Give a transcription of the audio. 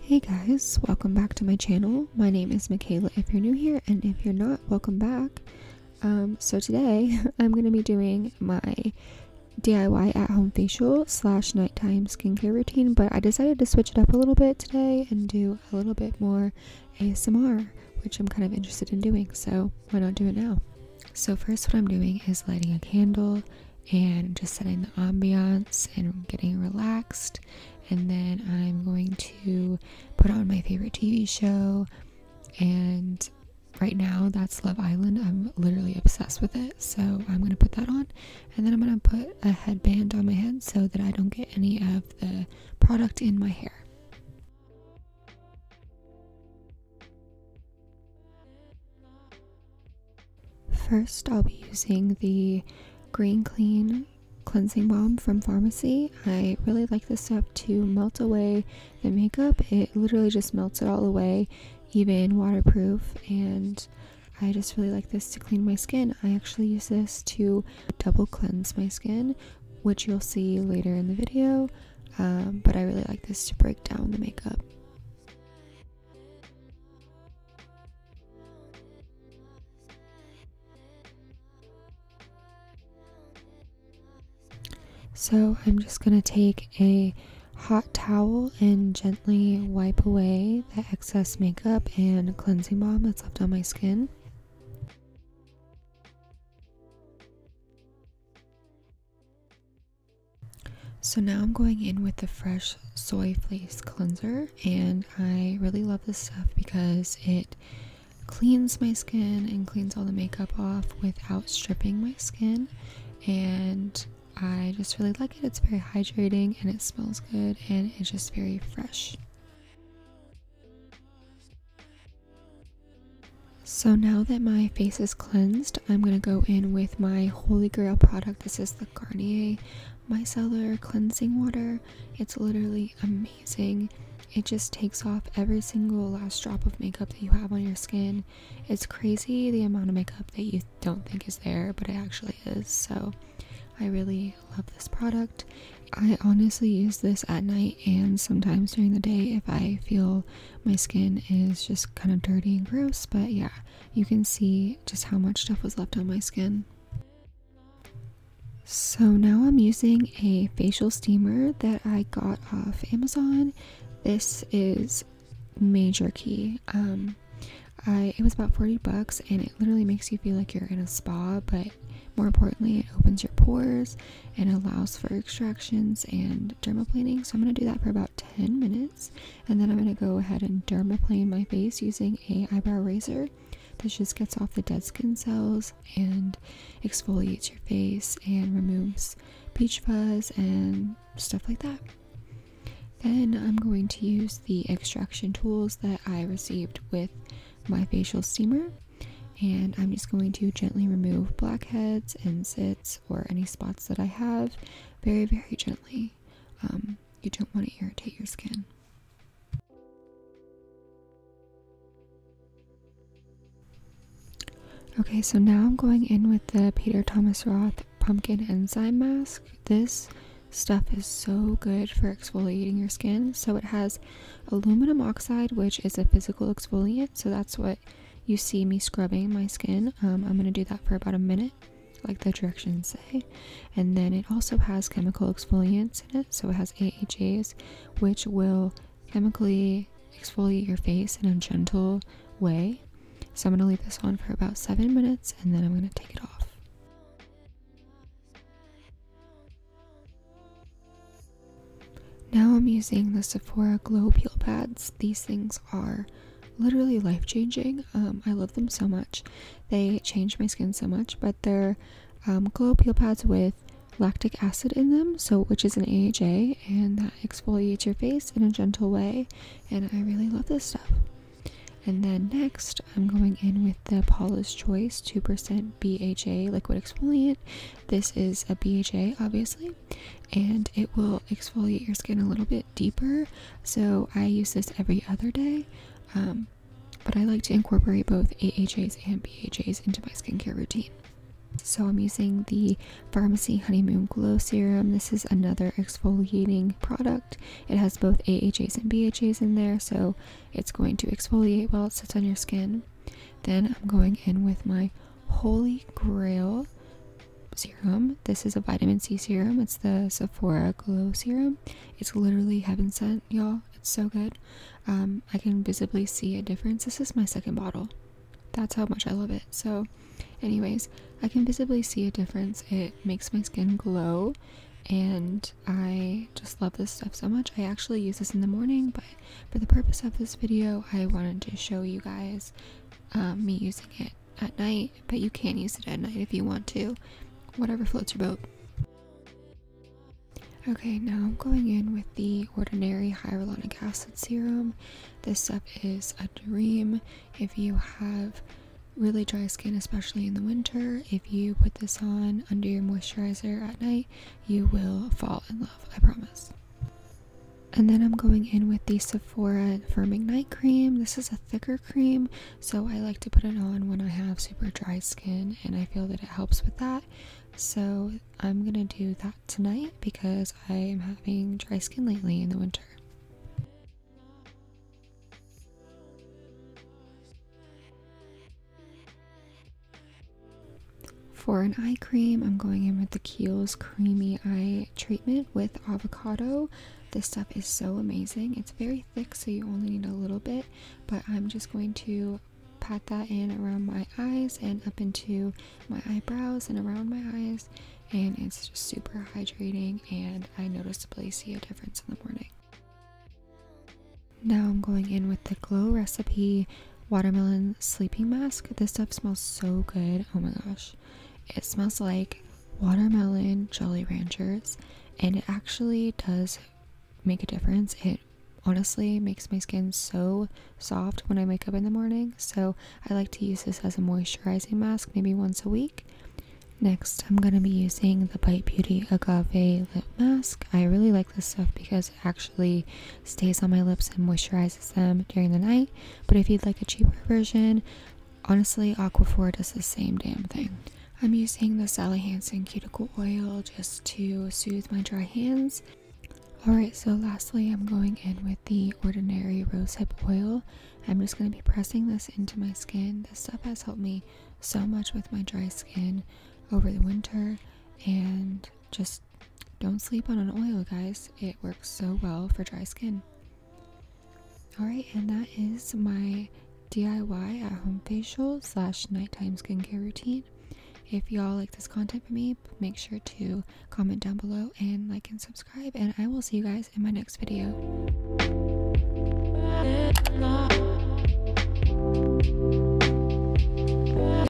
Hey guys, welcome back to my channel. My name is Mikayla. if you're new here, and if you're not, welcome back. Um, so today, I'm going to be doing my DIY at home facial slash nighttime skincare routine, but I decided to switch it up a little bit today and do a little bit more ASMR, which I'm kind of interested in doing, so why not do it now? So, first, what I'm doing is lighting a candle and just setting the ambiance and getting relaxed. And then I'm going to put on my favorite TV show. And right now, that's Love Island. I'm literally obsessed with it. So, I'm going to put that on. And then I'm going to put a headband on my head so that I don't get any of the product in my hair. First, I'll be using the Green Clean Cleansing Balm from Pharmacy. I really like this stuff to melt away the makeup. It literally just melts it all away, even waterproof, and I just really like this to clean my skin. I actually use this to double cleanse my skin, which you'll see later in the video. Um, but I really like this to break down the makeup. So I'm just going to take a hot towel and gently wipe away the excess makeup and cleansing balm that's left on my skin. So now I'm going in with the fresh soy Face cleanser and I really love this stuff because it cleans my skin and cleans all the makeup off without stripping my skin and I just really like it. It's very hydrating and it smells good and it's just very fresh. So now that my face is cleansed, I'm going to go in with my Holy Grail product. This is the Garnier Micellar Cleansing Water. It's literally amazing. It just takes off every single last drop of makeup that you have on your skin. It's crazy the amount of makeup that you don't think is there, but it actually is. So I really love this product. I honestly use this at night and sometimes during the day if I feel my skin is just kind of dirty and gross, but yeah, you can see just how much stuff was left on my skin. So now I'm using a facial steamer that I got off Amazon. This is major key. Um, I it was about 40 bucks and it literally makes you feel like you're in a spa, but more importantly, it opens your pores and allows for extractions and dermaplaning. So I'm going to do that for about 10 minutes and then I'm going to go ahead and dermaplane my face using a eyebrow razor that just gets off the dead skin cells and exfoliates your face and removes peach fuzz and stuff like that. Then I'm going to use the extraction tools that I received with my facial steamer and I'm just going to gently remove blackheads and zits or any spots that I have very, very gently. Um, you don't want to irritate your skin. Okay, so now I'm going in with the Peter Thomas Roth Pumpkin Enzyme Mask. This stuff is so good for exfoliating your skin. So it has aluminum oxide, which is a physical exfoliant. So that's what you see me scrubbing my skin. Um, I'm going to do that for about a minute, like the directions say. And then it also has chemical exfoliants in it. So it has AHAs, which will chemically exfoliate your face in a gentle way. So I'm going to leave this on for about seven minutes and then I'm going to take it off. Now I'm using the Sephora Glow Peel Pads. These things are literally life changing. Um, I love them so much. They change my skin so much, but they're um, glow peel pads with lactic acid in them, so which is an AHA, and that exfoliates your face in a gentle way. And I really love this stuff. And then next, I'm going in with the Paula's Choice 2% BHA liquid exfoliant. This is a BHA, obviously, and it will exfoliate your skin a little bit deeper. So I use this every other day, um, but I like to incorporate both AHAs and BHAs into my skincare routine. So I'm using the Pharmacy Honeymoon Glow Serum. This is another exfoliating product. It has both AHAs and BHAs in there, so it's going to exfoliate while it sits on your skin. Then I'm going in with my Holy Grail serum. This is a vitamin C serum. It's the Sephora Glow Serum. It's literally heaven sent, y'all. It's so good. Um, I can visibly see a difference. This is my second bottle. That's how much I love it. So, anyways, I can visibly see a difference. It makes my skin glow, and I just love this stuff so much. I actually use this in the morning, but for the purpose of this video, I wanted to show you guys um, me using it at night, but you can use it at night if you want to, whatever floats your boat. Okay, now I'm going in with the Ordinary Hyaluronic Acid Serum. This stuff is a dream if you have really dry skin, especially in the winter. If you put this on under your moisturizer at night, you will fall in love, I promise. And then I'm going in with the Sephora Firming Night Cream. This is a thicker cream, so I like to put it on when I have super dry skin, and I feel that it helps with that. So I'm gonna do that tonight because I am having dry skin lately in the winter. For an eye cream, I'm going in with the Kiehl's Creamy Eye Treatment with avocado. This stuff is so amazing. It's very thick, so you only need a little bit, but I'm just going to pat that in around my eyes and up into my eyebrows and around my eyes, and it's just super hydrating, and I noticeably see a difference in the morning. Now I'm going in with the Glow Recipe watermelon sleeping mask. This stuff smells so good. Oh my gosh. It smells like watermelon Jolly Ranchers and it actually does make a difference. It honestly makes my skin so soft when I wake up in the morning. So I like to use this as a moisturizing mask maybe once a week. Next, I'm going to be using the Bite Beauty Agave Lip Mask. I really like this stuff because it actually stays on my lips and moisturizes them during the night. But if you'd like a cheaper version, honestly, Aquaphor does the same damn thing. I'm using the Sally Hansen cuticle oil just to soothe my dry hands. Alright, so lastly, I'm going in with the Ordinary Rosehip Oil. I'm just going to be pressing this into my skin. This stuff has helped me so much with my dry skin over the winter and just don't sleep on an oil, guys. It works so well for dry skin. Alright, and that is my DIY at home facial slash nighttime skincare routine. If y'all like this content from me, make sure to comment down below and like and subscribe. And I will see you guys in my next video.